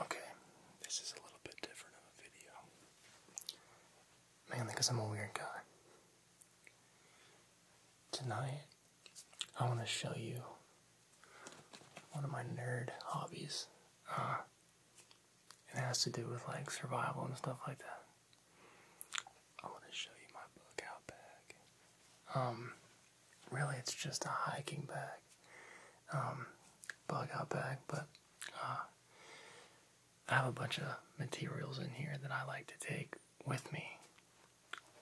Okay, this is a little bit different of a video. Mainly because I'm a weird guy. Tonight, I want to show you one of my nerd hobbies. Uh, it has to do with like survival and stuff like that. I want to show you my bug out bag. Um, really, it's just a hiking bag um, bug out bag, but uh, I have a bunch of materials in here that I like to take with me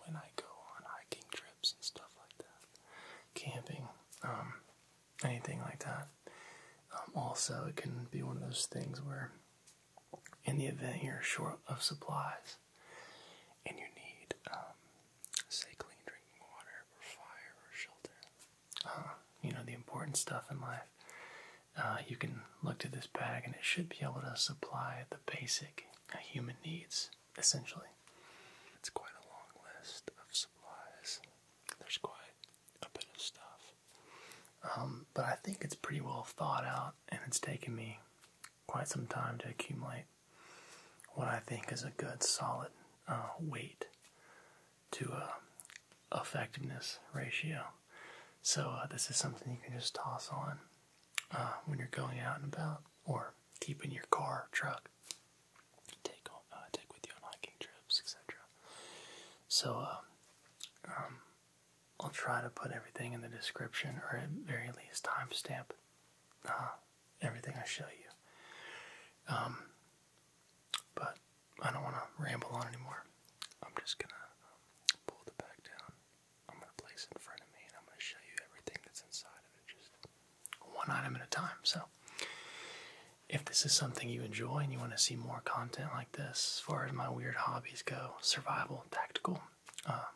when I go on hiking trips and stuff like that, camping, um, anything like that. Um, also, it can be one of those things where, in the event you're short of supplies and you need um, say clean drinking water or fire or shelter. Ah, you know, the important stuff in life. Uh, you can look to this bag and it should be able to supply the basic uh, human needs, essentially. It's quite a long list of supplies. There's quite a bit of stuff. Um, but I think it's pretty well thought out and it's taken me quite some time to accumulate what I think is a good solid uh, weight to uh, effectiveness ratio. So uh, this is something you can just toss on uh, when you're going out and about, or keeping your car, truck, uh, take with you on hiking trips, etc. So um, I'll try to put everything in the description, or at very least timestamp uh, everything I show you. Um, but I don't want to ramble on anymore. I'm just going to um, pull the back down. I'm going to place it in front of me and I'm going to show you everything that's inside of it, just one item at a time. So, if this is something you enjoy and you want to see more content like this, as far as my weird hobbies go, survival, tactical, um,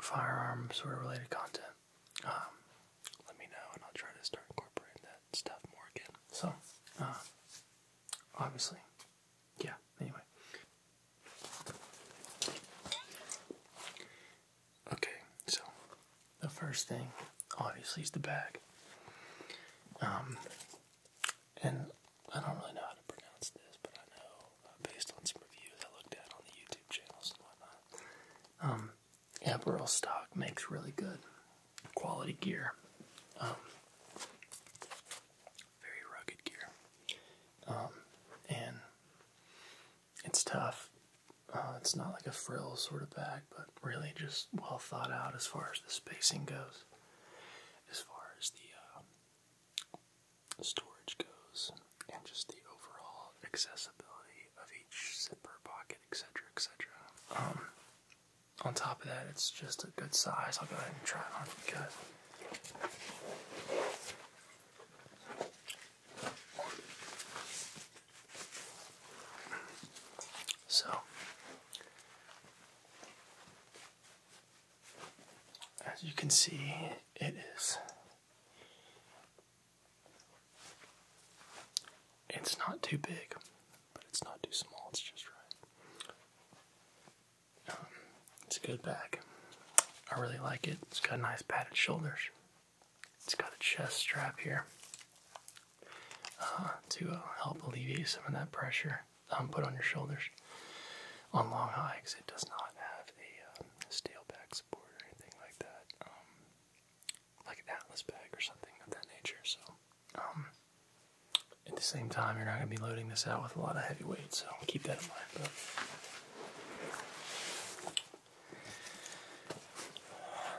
firearms, sort of related content, um, let me know and I'll try to start incorporating that stuff more again. So, uh, obviously, yeah, anyway. Okay, so the first thing obviously is the bag. Um, and I don't really know how to pronounce this, but I know uh, based on some reviews I looked at on the YouTube channels and whatnot, um, Emerald stock makes really good quality gear. Um, very rugged gear. Um, and it's tough. Uh, it's not like a frill sort of bag, but really just well thought out as far as the spacing goes, as far as the uh, storage goes, and just the overall accessibility of each zipper pocket etc., etc. Um, on top of that, it's just a good size. I'll go ahead and try it on for you So, as you can see, it is it's not too big, but it's not too small, it's just right. Um, it's a good bag. I really like it. It's got nice padded shoulders. It's got a chest strap here uh, to uh, help alleviate some of that pressure um, put on your shoulders on long hikes. It does not have a uh, steel back support or anything like that. Um, like an Atlas bag or something of that nature. So, um, at the same time, you're not going to be loading this out with a lot of heavy weight, so keep that in mind. But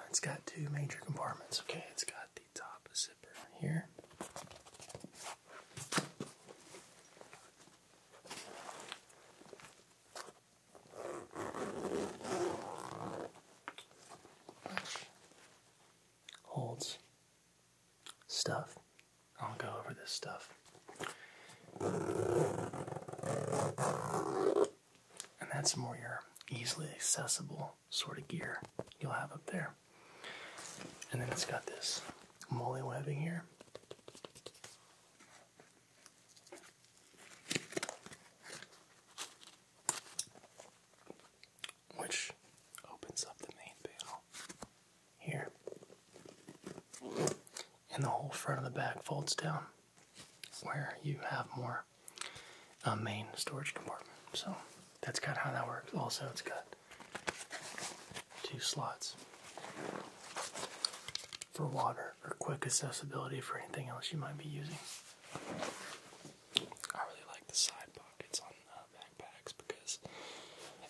it's got two major compartments. Okay, it's got the top zipper here holds stuff. I'll go over this stuff. And that's more your easily accessible sort of gear you'll have up there. And then it's got this molly webbing here. Which opens up the main panel here. And the whole front of the bag folds down where you have more uh, main storage compartment. So that's kind of how that works. Also, it's got two slots for water or quick accessibility for anything else you might be using. I really like the side pockets on uh, backpacks because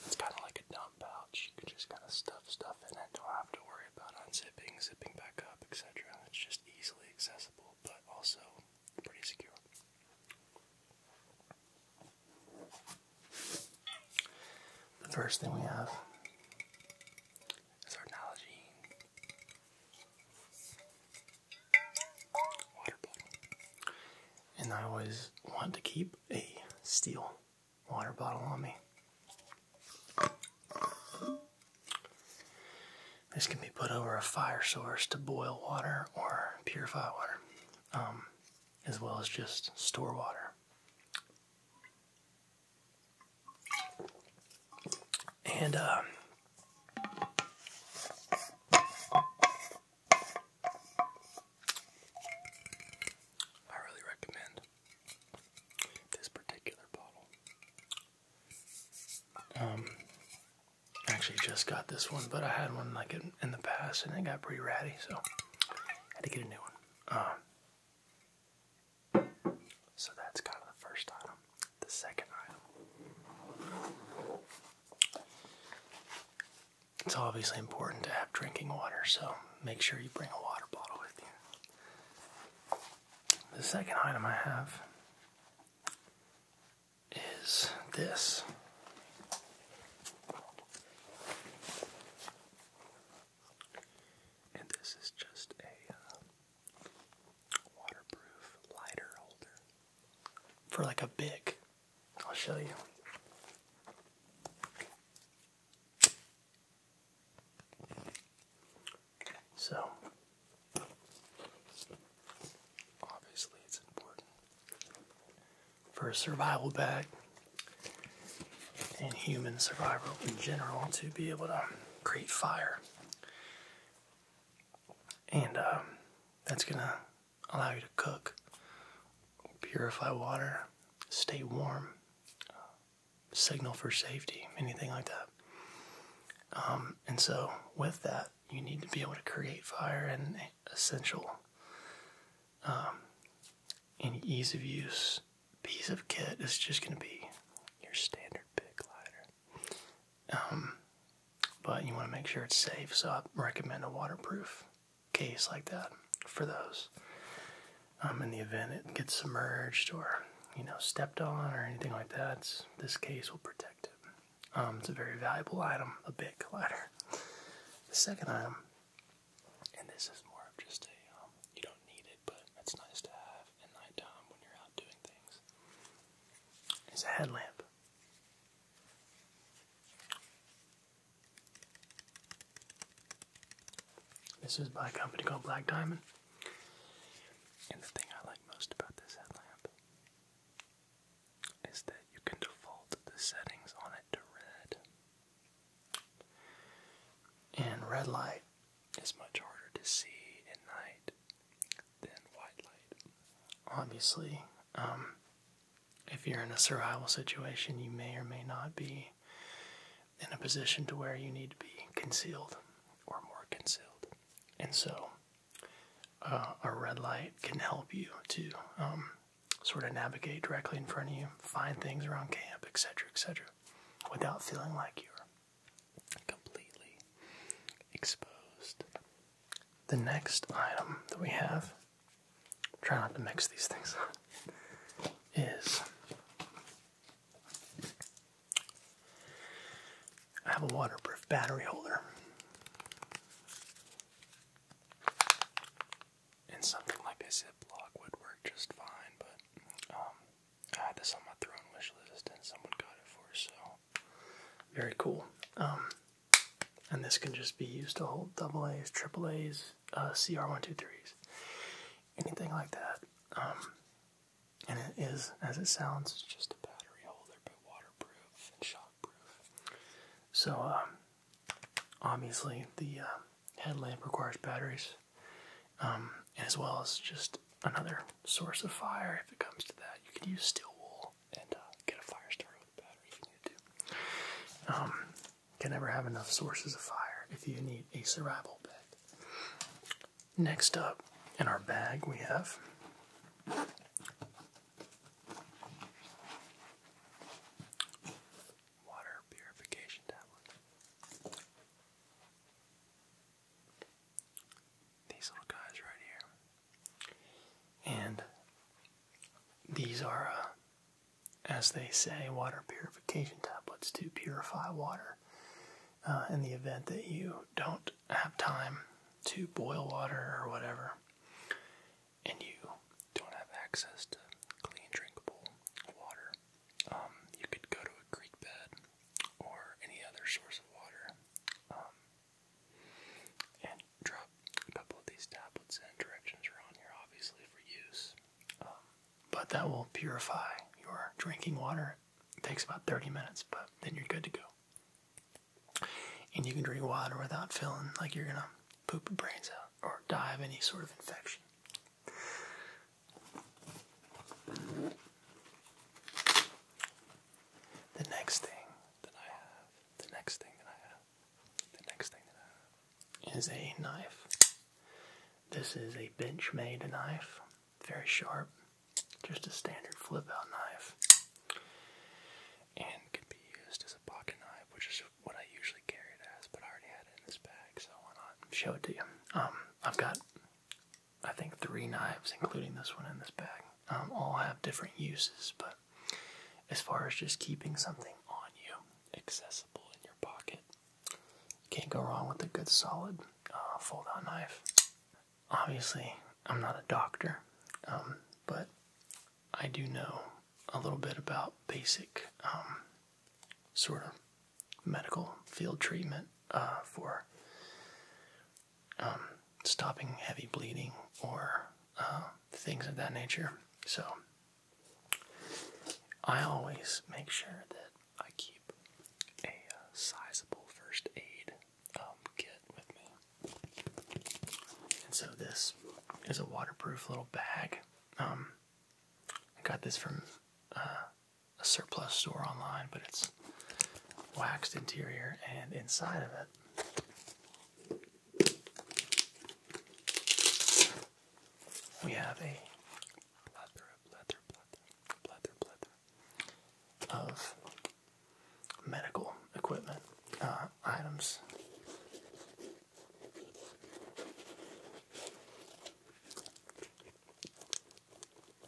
it's kind of like a dump pouch. You can just kind of stuff stuff in it. Don't have to worry about unzipping, zipping back up, etc. It's just easily accessible, but also pretty secure. The first thing we have is water bottle. And I always want to keep a steel water bottle on me. This can be put over a fire source to boil water or purify water, um, as well as just store water. And uh, I really recommend this particular bottle. Um, actually just got this one, but I had one like in, the past and it got pretty ratty, so I had to get a new one. Uh, so that's kind of the first item. The second item. It's obviously important to have drinking water, so make sure you bring a water bottle with you. The second item I have is this. And this is just a uh, waterproof lighter holder for like a big. I'll show you. So, obviously, it's important for a survival bag and human survival in general to be able to create fire and um, that's gonna allow you to cook, purify water, stay warm, uh, signal for safety, anything like that. Um, and so, with that, you need to be able to create fire and essential um, and ease of use piece of kit is just going to be your standard big lighter. Um, but you want to make sure it's safe, so I recommend a waterproof case like that for those. Um, in the event it gets submerged or you know stepped on or anything like that, this case will protect it. Um, it's a very valuable item, a big collider. The second item, and this is more of just a you don't need it, but it's nice to have at nighttime when you're out doing things, it's a headlamp. This is by a company called Black Diamond. And the thing I like most about this headlamp is that you can default the settings on it to red. And red light is much harder to see at night than white light. Obviously, um, if you're in a survival situation, you may or may not be in a position to where you need to be concealed or more concealed. And so, uh, a red light can help you to um, sort of navigate directly in front of you, find things around camp, etc., etc., without feeling like you're completely exposed. The next item that we have, try not to mix these things up, is I have a waterproof battery holder. And something like a Ziploc would work just fine, but um, I had this on my throne wish list and someone got it for us, so very cool. Um, and this can just be used to hold double A's, triple A's, uh, CR123s, anything like that. Um, and it is, as it sounds, just a battery holder, but waterproof and shockproof. So, um, obviously, the uh, headlamp requires batteries, as well as just another source of fire if it comes to that. You can use steel wool and uh, get a fire starter with a battery if you need to. Um, can never have enough sources of fire if you need a survival bag. Next up in our bag we have water purification tablet these little guys right here. And these are, uh, as they say, water purification tablets to purify water uh, in the event that you don't have time to boil water or whatever, and you don't have access to clean, drinkable water. Um, you could go to a creek bed or any other source of water. Um, and drop a couple of these tablets and Directions are on here, obviously, for use. Um, but that will purify your drinking water. It takes about 30 minutes, but then you're good to go. And you can drink water without feeling like you're going to poop your brains out or die of any sort of infection. The next thing that I have, the next thing that I have, the next thing that I have is a knife. This is a Benchmade knife, very sharp, just a standard flip out knife, and can be used as a pocket knife, which is what I usually carry it as, but I already had it in this bag, so why not show it to you? Um, I've got I think three knives, including this one in this bag, um, all have different uses. But as far as just keeping something on you, accessible in your pocket, you can't go wrong with a good solid uh, fold-out knife. Obviously, I'm not a doctor, um, but I do know a little bit about basic um, sort of medical field treatment uh, for um, stopping heavy bleeding or uh, things of that nature. So I always make sure that I keep a uh, sizeable first aid um, kit with me. And so this is a waterproof little bag. Um, I got this from uh, a surplus store online, but it's waxed interior and inside of it we have a plethora, of medical equipment uh, items. Fleck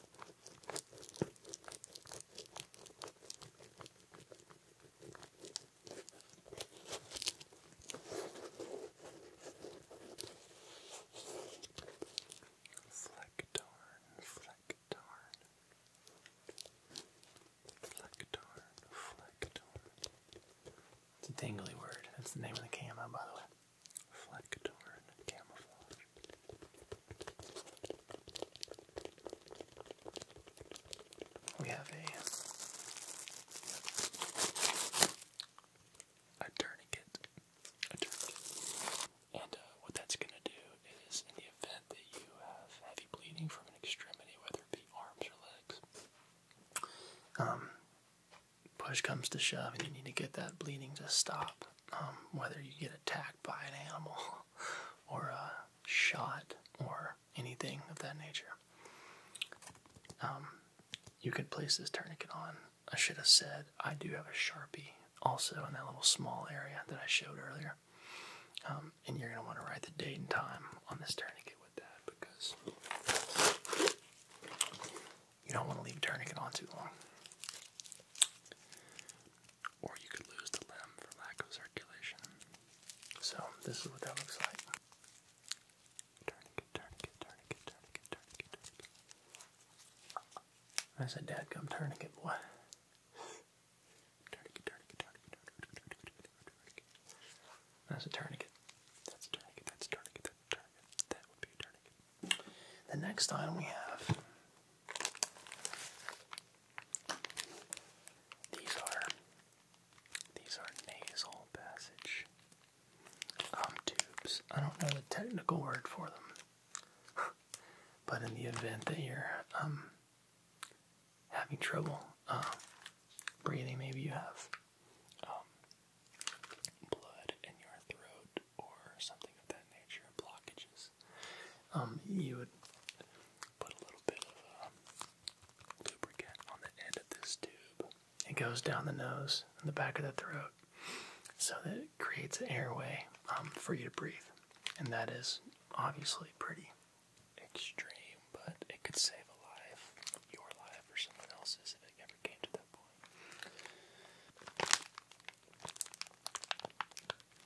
darn, fleck darn, It's a dangly word. That's the name of the camo, by the way. Fleck camouflage. We have a tourniquet, and uh, what that's going to do is, in the event that you have heavy bleeding from an extremity, whether it be arms or legs, um, push comes to shove, and you need to get that bleeding to stop. Um, whether you get attacked by an animal or uh, shot or anything of that nature. Um, you could place this tourniquet on. I should have said I do have a sharpie also in that little small area that I showed earlier. Um, and you're going to want to write the date and time on this tourniquet with that because you don't want to leave tourniquet on too long or you could lose the limb for lack of circulation. So, this is what that looks like. Tourniquet, tourniquet, tourniquet, tourniquet, tourniquet, tourniquet. I said, Dad, come tourniquet, boy. That's That's a tourniquet, that's a tourniquet, that's a tourniquet. That would be a tourniquet. The next item we have these are these are nasal passage um, tubes. I don't know the technical word for them, but in the event that you're um, having trouble um, breathing, maybe you have blood in your throat or something of that nature, blockages. Um, you would put a little bit of uh, lubricant on the end of this tube. It goes down the nose and the back of the throat, so that it creates an airway um, for you to breathe. And that is obviously pretty extreme, but it could save a life, your life, or someone else's if it ever came to that point.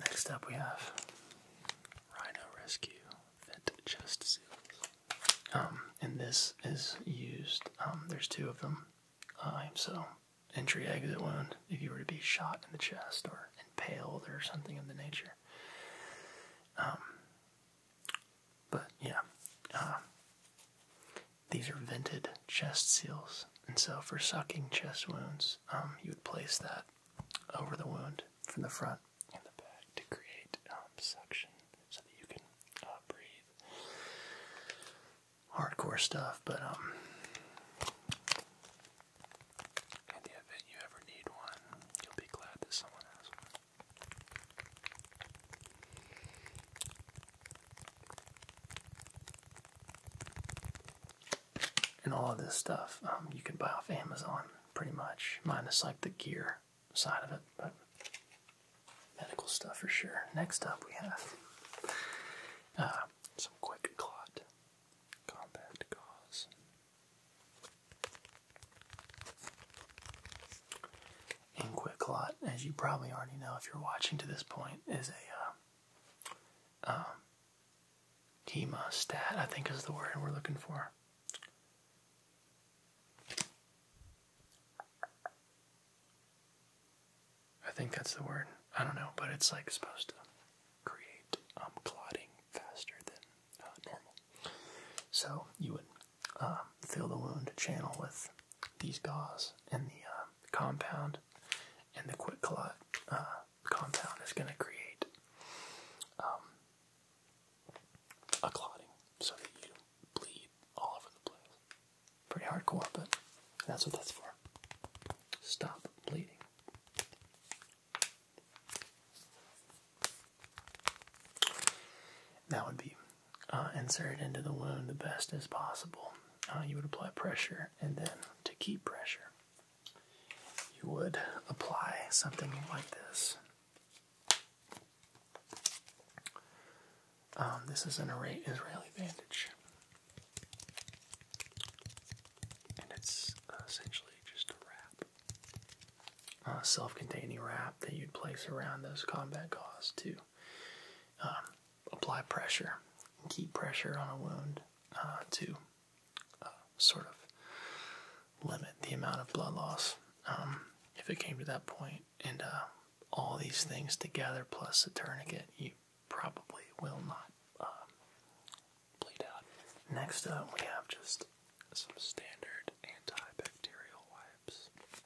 Next up, we have Rhino Rescue Vent Chest Seals. Um, and this is used, um, there's two of them. Uh, so, entry exit wound, if you were to be shot in the chest or impaled or something of the nature. Um, but yeah, uh, these are vented chest seals, and so for sucking chest wounds, um, you would place that over the wound from the front and the back to create um, suction so that you can uh, breathe. Hardcore stuff, but in um, the event you ever need one, you'll be glad that someone has one. And all of this stuff um, you can buy off Amazon pretty much, minus like the gear side of it, but medical stuff for sure. Next up, we have uh, some quick clot combat gauze in Quicklot, as you probably already know if you're watching to this point, is a uh, um, hemostat, I think is the word we're looking for. I think that's the word. I don't know, but it's like supposed to create um, clotting faster than uh, normal. So you would um, fill the wound channel with these gauze and the um, compound and the quick clot uh, compound is going to create um, a clotting so that you bleed all over the place. Pretty hardcore, but that's what that's for. Stop bleeding. That would be uh, insert it into the wound the best as possible. Uh, you would apply pressure, and then to keep pressure, you would apply something like this. Um, this is an Israeli bandage, and it's uh, essentially just a wrap, a self contained wrap that you'd place around those combat gauze too. Um, apply pressure and keep pressure on a wound uh, to uh, sort of limit the amount of blood loss um, if it came to that And uh, all these things together plus a tourniquet, you probably will not bleed out. Next we have just some standard antibacterial wipes.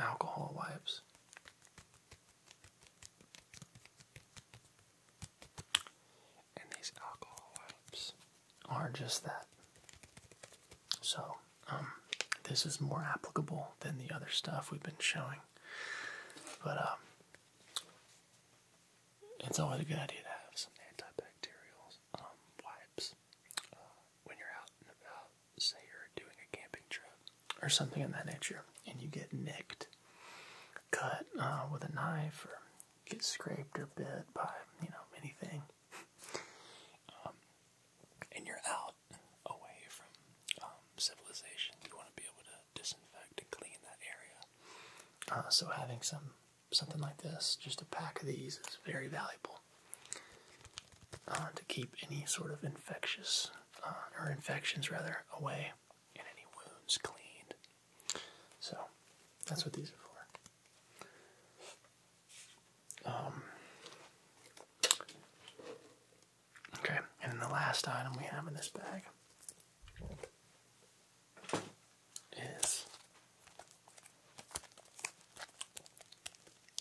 alcohol wipes. And these alcohol wipes are just that. So, um, this is more applicable than the other stuff we've been showing. But, um, it's always a good idea to have some antibacterial um, wipes uh, when you're out and about say you're doing a camping trip or something of that nature, and you get nicked, cut uh, with a knife, or get scraped or bit by you know anything, um, and you're out away from um, civilization, you want to be able to disinfect and clean that area. Uh, so having some something like this, just a pack of these, is very valuable. Uh, to keep any sort of infectious uh, or infections rather away and any wounds cleaned. So that's what these are for. Um, okay, and then the last item we have in this bag is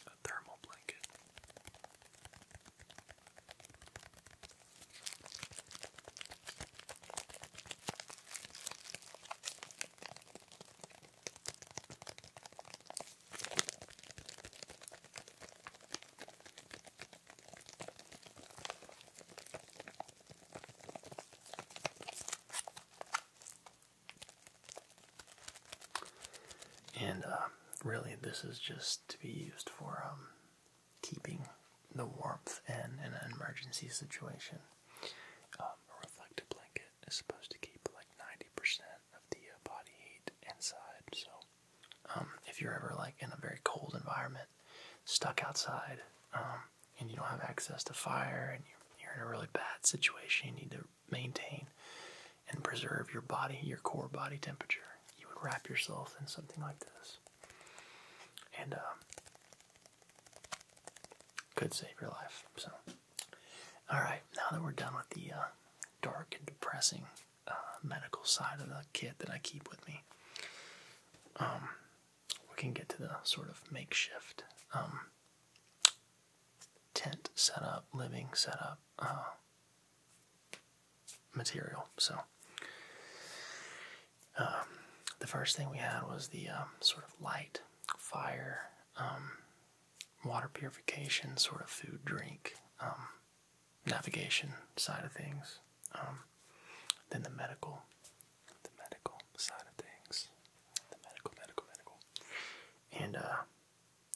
a thermal blanket. And uh, really, this is just to be used for um, keeping the warmth in in an emergency situation. Um, a reflective blanket is supposed to keep like 90% of the uh, body heat inside. So, um, if you're ever like in a very cold environment, stuck outside, and you don't have access to fire, and you're in a really bad situation, you need to maintain and preserve your body, your core body temperature, you would wrap yourself in something like this. And um, could save your life. So, all right, now that we're done with the uh, dark and depressing uh, medical side of the kit that I keep with me, um, we can get to the sort of makeshift um, tent setup, living setup, uh, material. So, um, the first thing we had was the um, sort of light, fire, um, water purification, sort of food, drink, navigation side of things. then the medical, the medical side of things, the medical, medical, medical, and uh,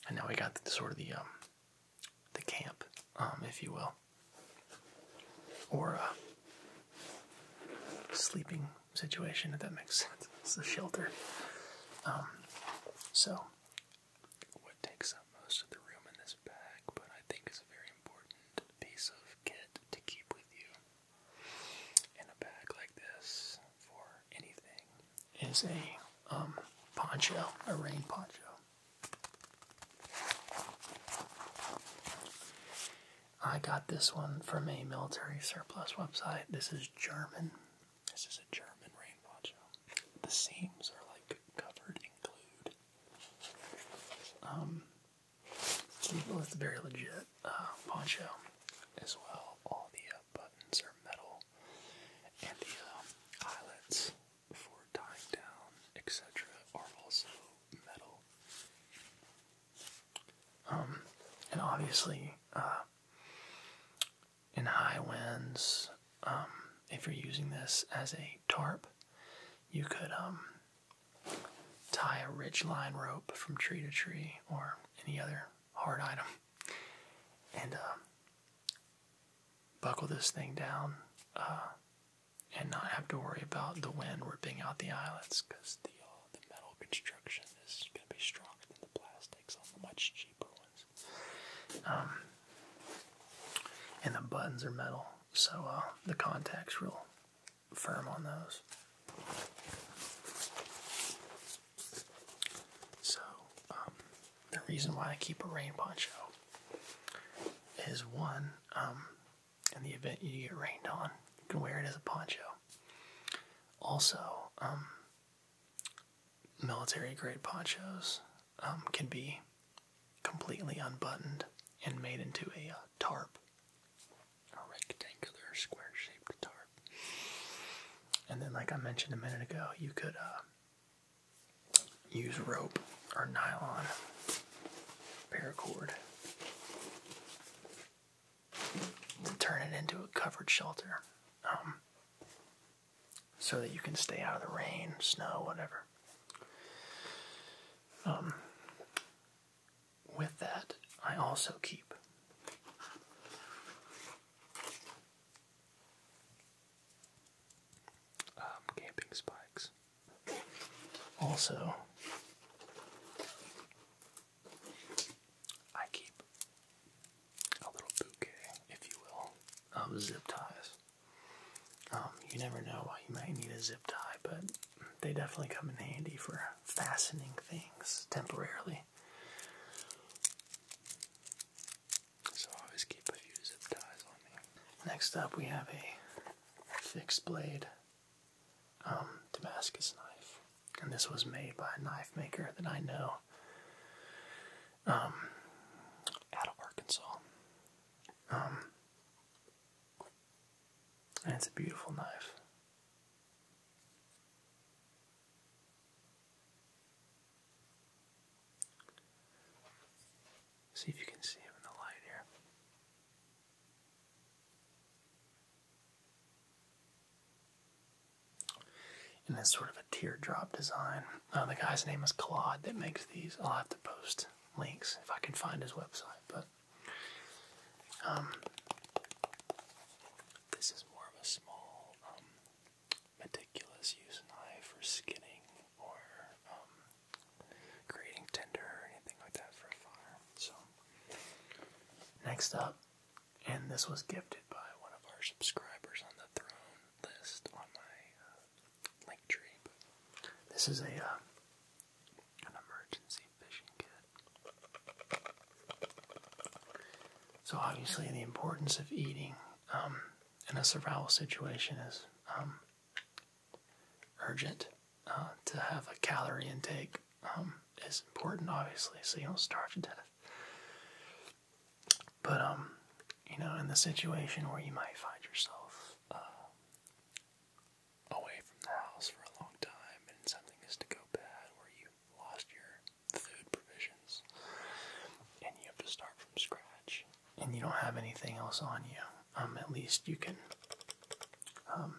and now we got the, sort of the the camp, um, if you will, or a uh, sleeping situation, if that makes sense. It's a shelter. Um, so, what takes up most of the room in this bag, but I think is a very important piece of kit to keep with you in a bag like this for anything is a um, poncho, a rain poncho. I got this one from a military surplus website. This is German. This is a German rain poncho. The seams are like covered in glue. Um, so it's a very legit uh, poncho as well. All the buttons are metal, and the um, eyelets for tying down, etc., are also metal. Um, and obviously, uh, in high winds, um, if you're using this as a tarp, you could tie a ridge line rope from tree to tree or any other hard item and buckle this thing down uh, and not have to worry about the wind ripping out the eyelets because uh, the, metal construction is going to be stronger than the plastics on the much cheaper ones. Um, and the buttons are metal, so uh, the contact's real firm on those. So, um, the reason why I keep a rain poncho is one, um, in the event you get rained on, you can wear it as a poncho. Also, um, military grade ponchos um, can be completely unbuttoned and made into a uh, tarp, a rectangular square shaped tarp. And then, like I mentioned a minute ago, you could uh, use rope or nylon paracord to turn it into a covered shelter um, so that you can stay out of the rain, snow, whatever. Um, with that, I also keep um, camping spikes. Also, I keep a little bouquet, if you will, of zip ties. Um, you never know why you might need a zip tie, but they definitely come in handy for fastening things temporarily. Next up, we have a fixed blade um, Damascus knife, and this was made by a knife maker that I know um, out of Arkansas. Um, and it's a beautiful knife. See if you can see him in the light here. And it's sort of a teardrop design. Uh, the guy's name is Claude that makes these. I'll have to post links if I can find his website. But um, this is more of a small um, meticulous use an eye for skinning or um, creating tinder or anything like that for a fire. So, next up, and this was gifted by one of our subscribers on the throne list on my uh, link tree. this is a uh, an emergency fishing kit. So obviously, the importance of eating. Um, in a survival situation is um, urgent. Uh, to have a calorie intake um, is important, obviously, so you don't starve to death. But um, you know, in the situation where you might find yourself uh, away from the house for a long time, and something is to go bad, where you lost your food provisions, and you have to start from scratch, and you don't have anything else on you, um, at least you can um,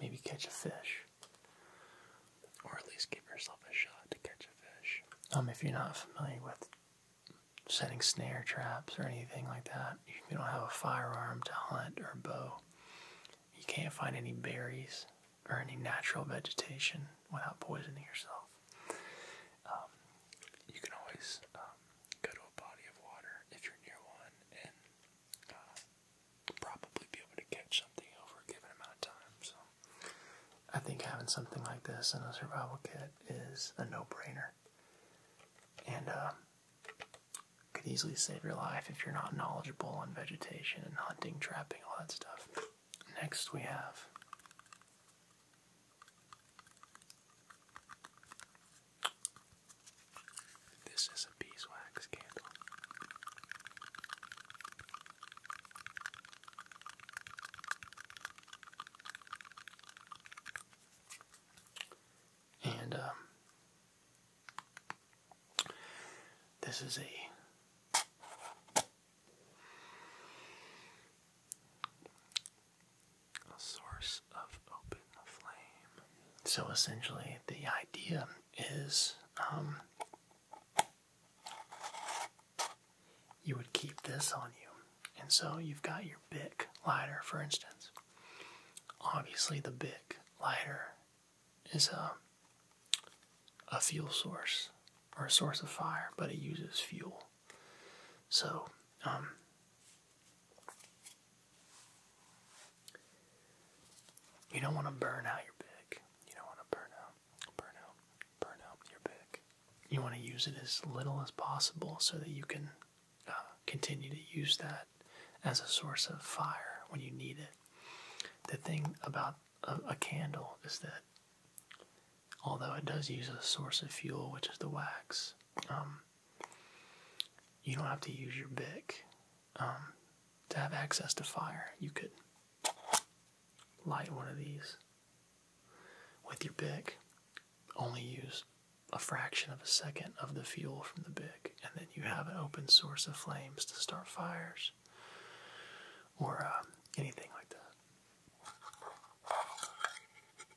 maybe catch a fish, or at least give yourself a shot to catch a fish. Um, if you're not familiar with setting snare traps or anything like that, you don't have a firearm to hunt or bow, you can't find any berries or any natural vegetation without poisoning yourself. Um, you can always um, go to a body of water if you're near one and uh, probably be able to catch something over a given amount of time. So I think having something like this in a survival kit is a no-brainer. And uh, could easily save your life if you're not knowledgeable on vegetation and hunting, trapping, all that stuff. Next we have this is a beeswax candle. And um, this is a so essentially, the idea is um, you would keep this on you. And so you've got your Bic lighter, for instance. Obviously, the Bic lighter is a fuel source or a source of fire, but it uses fuel. So, um, you don't want to burn out your pick. You don't want to burn out, burn out, burn out your pick. You want to use it as little as possible so that you can uh, continue to use that as a source of fire when you need it. The thing about a candle is that although it does use a source of fuel, which is the wax. Um, you don't have to use your bic um, to have access to fire. You could light one of these with your bic, only use a fraction of a second of the fuel from the bic, and then you have an open source of flames to start fires or uh, anything like that.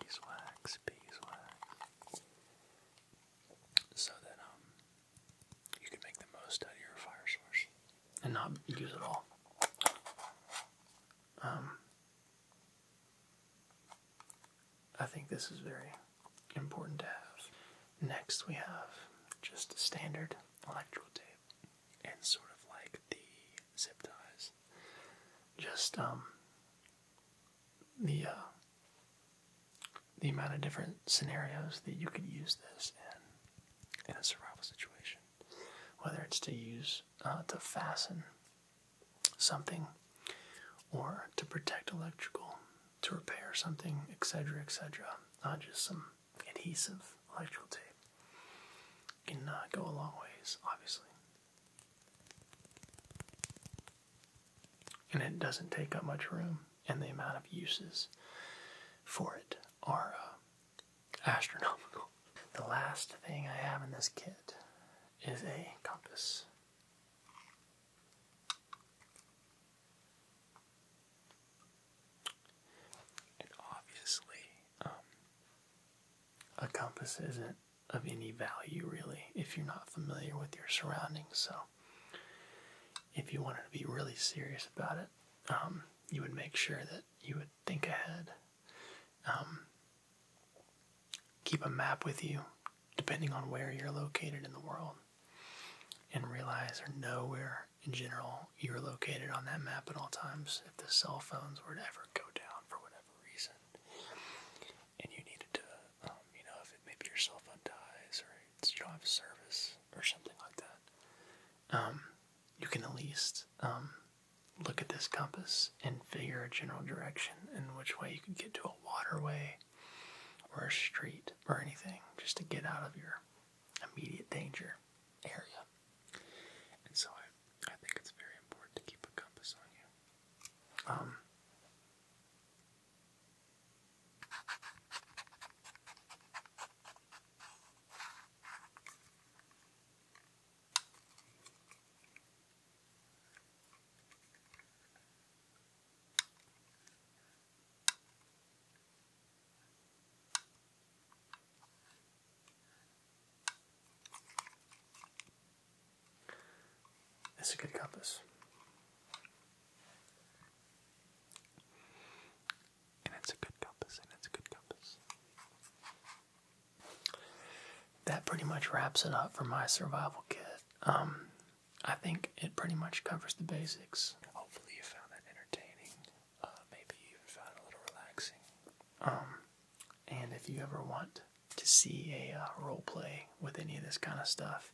Beeswax, beeswax. So that um you can make the most out of your fire source and not use it all. Um I think this is very important to have. Next, we have just a standard electrical tape and sort of like the zip ties. Just um, the uh, the amount of different scenarios that you could use this in in a survival situation, whether it's to use uh, to fasten something or to protect electrical to repair something, etc., etc., not just some adhesive electrical tape. Can uh, go a long ways, obviously. And it doesn't take up much room, and the amount of uses for it are uh, astronomical. The last thing I have in this kit is a compass obviously, um, a compass isn't of any value really if you're not familiar with your surroundings. So, if you wanted to be really serious about it, um, you would make sure that you would think ahead. Um, keep a map with you depending on where you're located in the world, and realize or know where, in general, you're located on that map at all times if the cell phones were to ever go down for whatever reason. And you needed to, um, you know, if maybe your cell phone dies or it's, you don't service or something like that, um, you can at least um, look at this compass and figure a general direction and which way you could get to a waterway or a street or anything just to get out of your immediate danger area. And so I, I think it's very important to keep a compass on you. Um, that's a good compass. And it's a good compass, and it's a good compass. That pretty much wraps it up for my survival kit. Um, I think it pretty much covers the basics. Hopefully, you found that entertaining. Uh, maybe you found a little relaxing. Um, and if you ever want to see a uh, role play with any of this kind of stuff,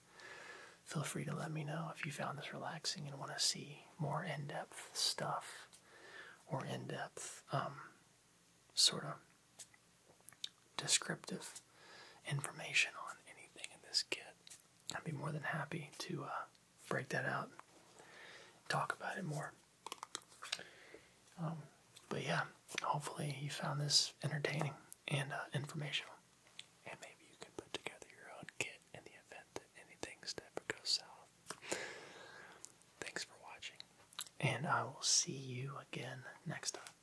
feel free to let me know if you found this relaxing and want to see more in depth stuff or in depth um, sort of descriptive information on anything in this kit. I'd be more than happy to uh, break that out and talk about it more. Um, but yeah, hopefully you found this entertaining and uh, informational. And maybe you can put together your own kit in the event that anything ever goes south. Thanks for watching, and I will see you again next time.